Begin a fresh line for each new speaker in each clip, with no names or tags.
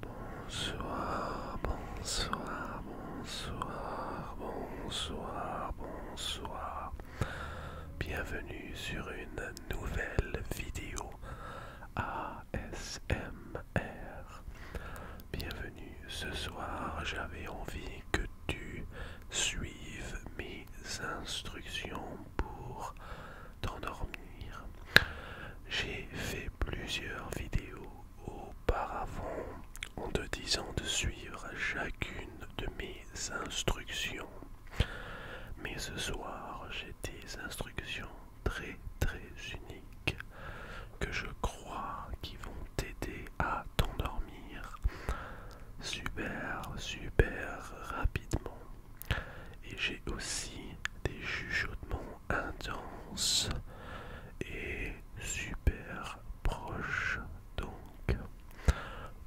Bonsoir, bonsoir, bonsoir, bonsoir, bonsoir. Bienvenue sur une nouvelle vidéo ASMR. Bienvenue ce soir, j'avais envie que tu suives mes instructions pour t'endormir. J'ai fait plusieurs vidéos auparavant en te disant de suivre chacune de mes instructions. Mais ce soir, j'ai des instructions très très uniques que je crois qui vont t'aider à t'endormir super super rapidement. Et j'ai aussi des chuchotements intenses et super proches. Donc,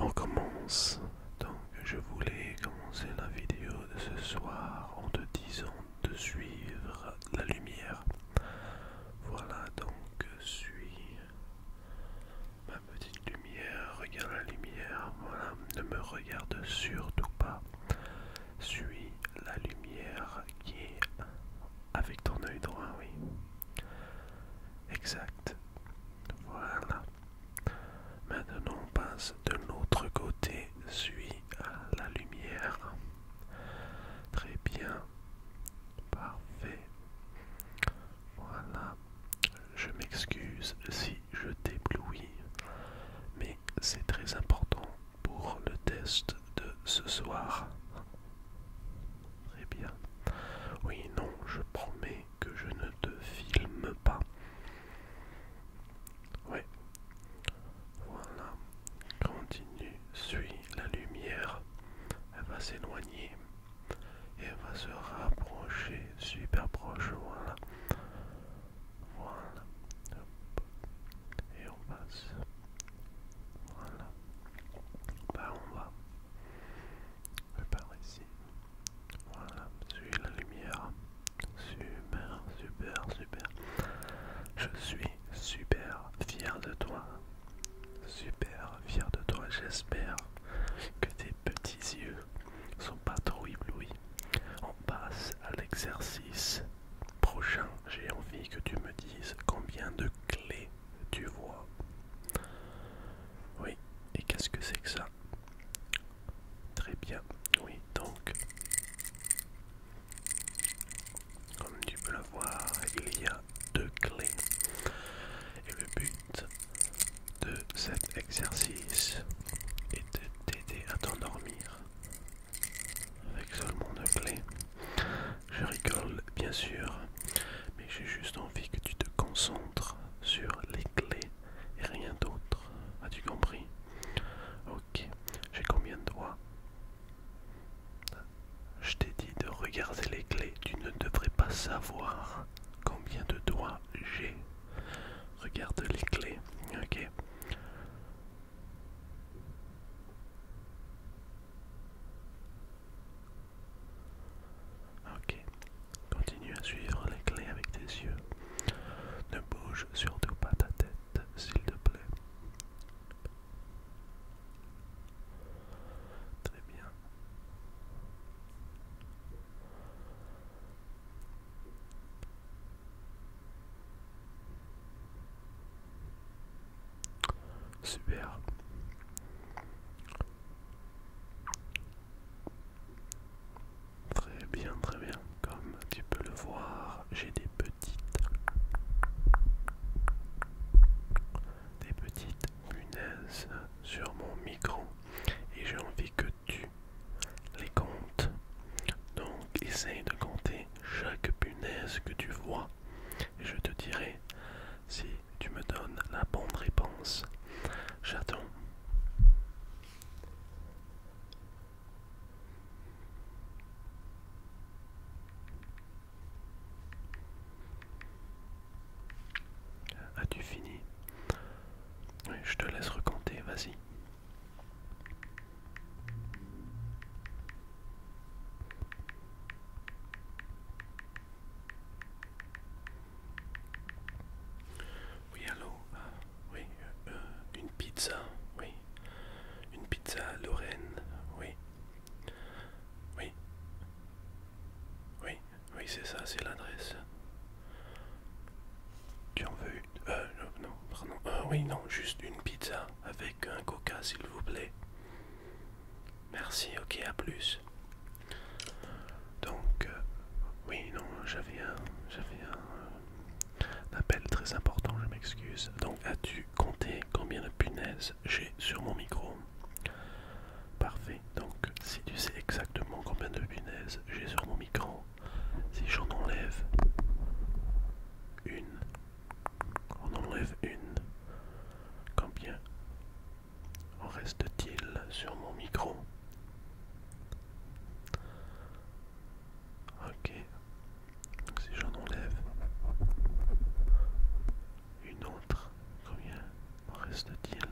on commence. Donc, je voulais commencer la vidéo de ce soir en te disant de suivre la lumière. Voilà, donc, suis ma petite lumière. Regarde la lumière. Voilà, ne me regarde surtout pas. Suis la lumière qui est avec ton œil droit, oui. Exact. Voilà. Maintenant on passe de l'autre côté. Suis la lumière. Très bien. Parfait. Voilà. Je m'excuse si je t'éblouis, mais c'est très important pour le test de ce soir. Très bien. Oui, non, je promets que je ne te filme pas. Oui. Voilà. Continue, suis la lumière. Elle va s'éloigner. Et elle va se rapprocher super proche. Voilà. Voilà. Et on passe. Voilà. Bah on va. par ici. Voilà. Suis la lumière. Super, super, super. Je suis super fier de toi. Super fier de toi. J'espère que tes petits yeux sont pas trop éblouis. On passe à l'exercice prochain. J'ai envie que tu me dises combien de clés tu vois. Oui, et qu'est-ce que c'est que ça Très bien, oui, donc, comme tu peux le voir, il y a deux clés. Et le but de cet exercice et de t'aider à t'endormir avec seulement une clé. Je rigole bien sûr, mais j'ai juste envie que tu te concentres sur les clés et rien d'autre. As-tu compris Ok, j'ai combien de doigts Je t'ai dit de regarder les clés, tu ne devrais pas savoir combien de doigts j'ai. Regarde les clés. Ok. Ok. Continue à suivre les clés avec tes yeux. Ne bouge surtout pas ta tête, s'il te plaît. Très bien. Super. Très bien, très bien. Comme tu peux le voir, j'ai des petites des petites punaises sur mon micro et j'ai envie que tu les comptes. Donc essaye de compter chaque punaise que tu vois et je te dirai si tu me donnes la bonne réponse. J'attends. As-tu fini Oui, je te laisse raconter, vas-y. Oui, allô ah, Oui, euh, euh, une pizza, oui. Une pizza Lorraine, oui. Oui. Oui. Oui, c'est ça, c'est l'adresse. Tu en veux Euh, non, pardon. Euh, oui, non, juste une pizza avec un coca, s'il vous plaît. Merci, ok, à plus. Donc, euh, oui, non, j'avais un, j'avais un euh, appel très important, je m'excuse. Donc, as-tu compté combien de punaises j'ai sur mon micro Parfait, donc si tu sais exactement combien de punaises j'ai sur mon micro, si j'en enlève une, on enlève une, combien en reste-t-il sur mon micro Ok, donc si j'en enlève une autre, combien reste-t-il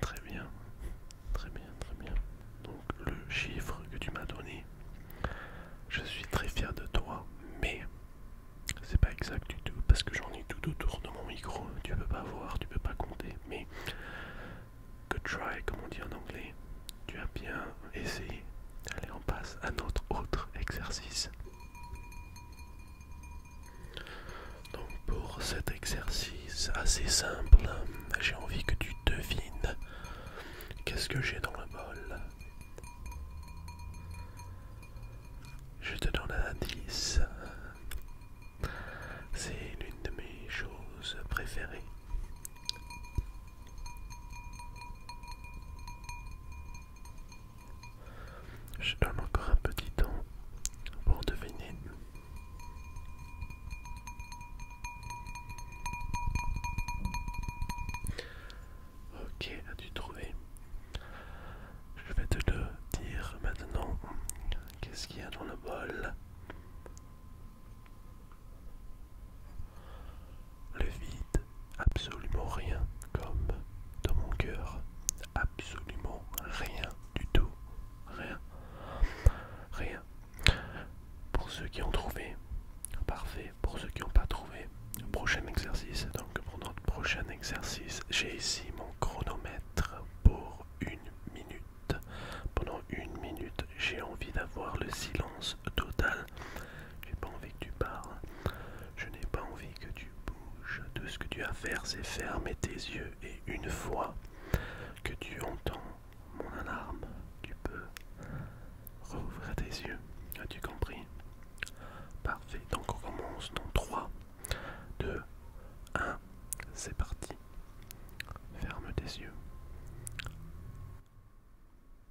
Très bien, très bien, très bien. Donc le chiffre que tu m'as donné, je suis très fier de toi, mais c'est pas exact du tout parce que j'en ai tout autour de mon micro. Tu peux pas voir, tu peux pas compter, mais good try, comme on dit en anglais. Tu as bien essayé. Allez, on passe à notre autre exercice. Donc pour cet exercice assez simple, j'ai envie que tu devines qu'est-ce que j'ai dans le bol. Je te donne un indice. C'est l'une de mes choses préférées. Je donne encore un petit temps pour deviner. Ok, as-tu trouvé Je vais te le dire maintenant. Qu'est-ce qu'il y a dans le bol Le vide absolument rien, comme dans mon cœur, absolument rien du tout, rien, rien. Pour ceux qui ont trouvé, parfait. Pour ceux qui n'ont pas trouvé, prochain exercice. Donc pour notre prochain exercice, j'ai ici mon chronomètre pour une minute. Pendant une minute, j'ai envie d'avoir le silence total. J'ai pas envie que tu parles. Je n'ai pas envie que tu tout ce que tu as à faire, c'est fermer tes yeux et une fois que tu entends mon alarme, tu peux rouvrir tes yeux. As-tu compris Parfait, donc on commence dans 3, 2, 1, c'est parti. Ferme tes yeux.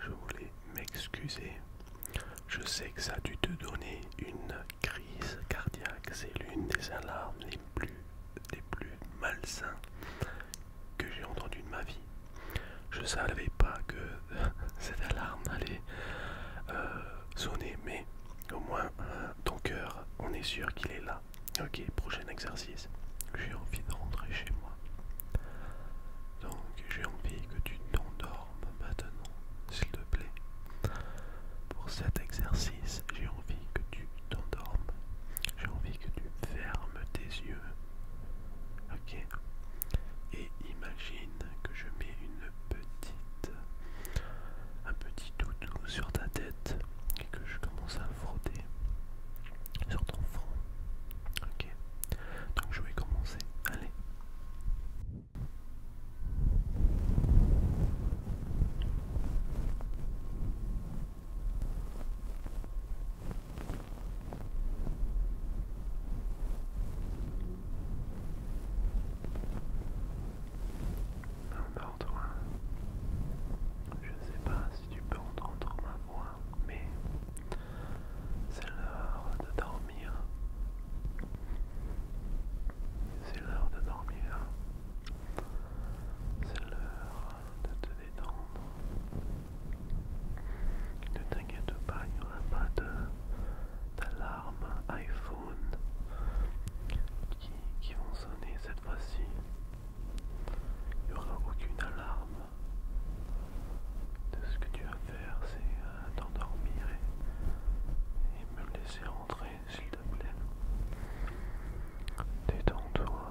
je voulais m'excuser. Je sais que ça a dû te donner une crise cardiaque. C'est l'une des alarmes les plus, les plus malsains que j'ai entendu de ma vie. Je ne savais pas que cette alarme allait euh, sonner, mais au moins euh, ton cœur, on est sûr qu'il est là. Ok, prochain exercice. J'ai envie de rentrer chez moi. Donc j'ai envie que tu t'endormes maintenant, s'il te plaît. Pour cet exercice, j'ai envie que tu t'endormes. J'ai envie que tu fermes tes yeux Ok. Et imagine que je mets une petite, un petit toutou sur ta tête et que je commence à frotter sur ton front. Ok. Donc je vais commencer. Allez. Je sais pas si tu peux entendre ma voix, mais c'est l'heure de dormir. C'est l'heure de dormir. C'est l'heure de te détendre. Ne t'inquiète pas, il n'y aura pas d'alarme iPhone qui, vont sonner cette fois-ci. Il n'y aura aucune alarme. Ce que tu vas faire, c'est euh, t'endormir et, et me laisser rentrer, s'il te plaît. Détends-toi,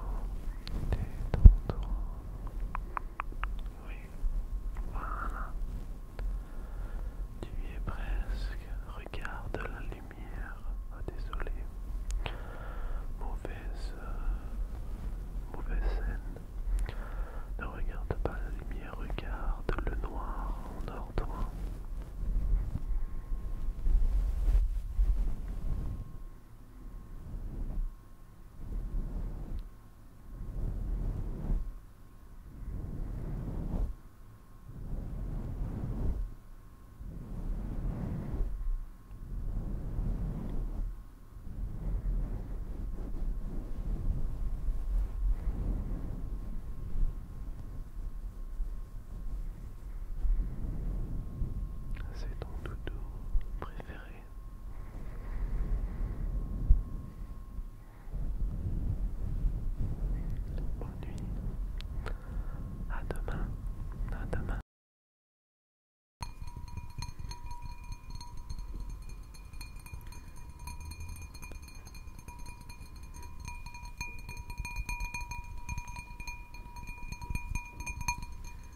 détends-toi. Oui, voilà. Tu y es presque. Regarde la lumière. Ah, désolé. Mauvaise, euh, mauvaise scène. Ne regarde pas la lumière. Regarde le noir en ordre. C'est ton doudou préféré. Bon nuit. À demain. À demain.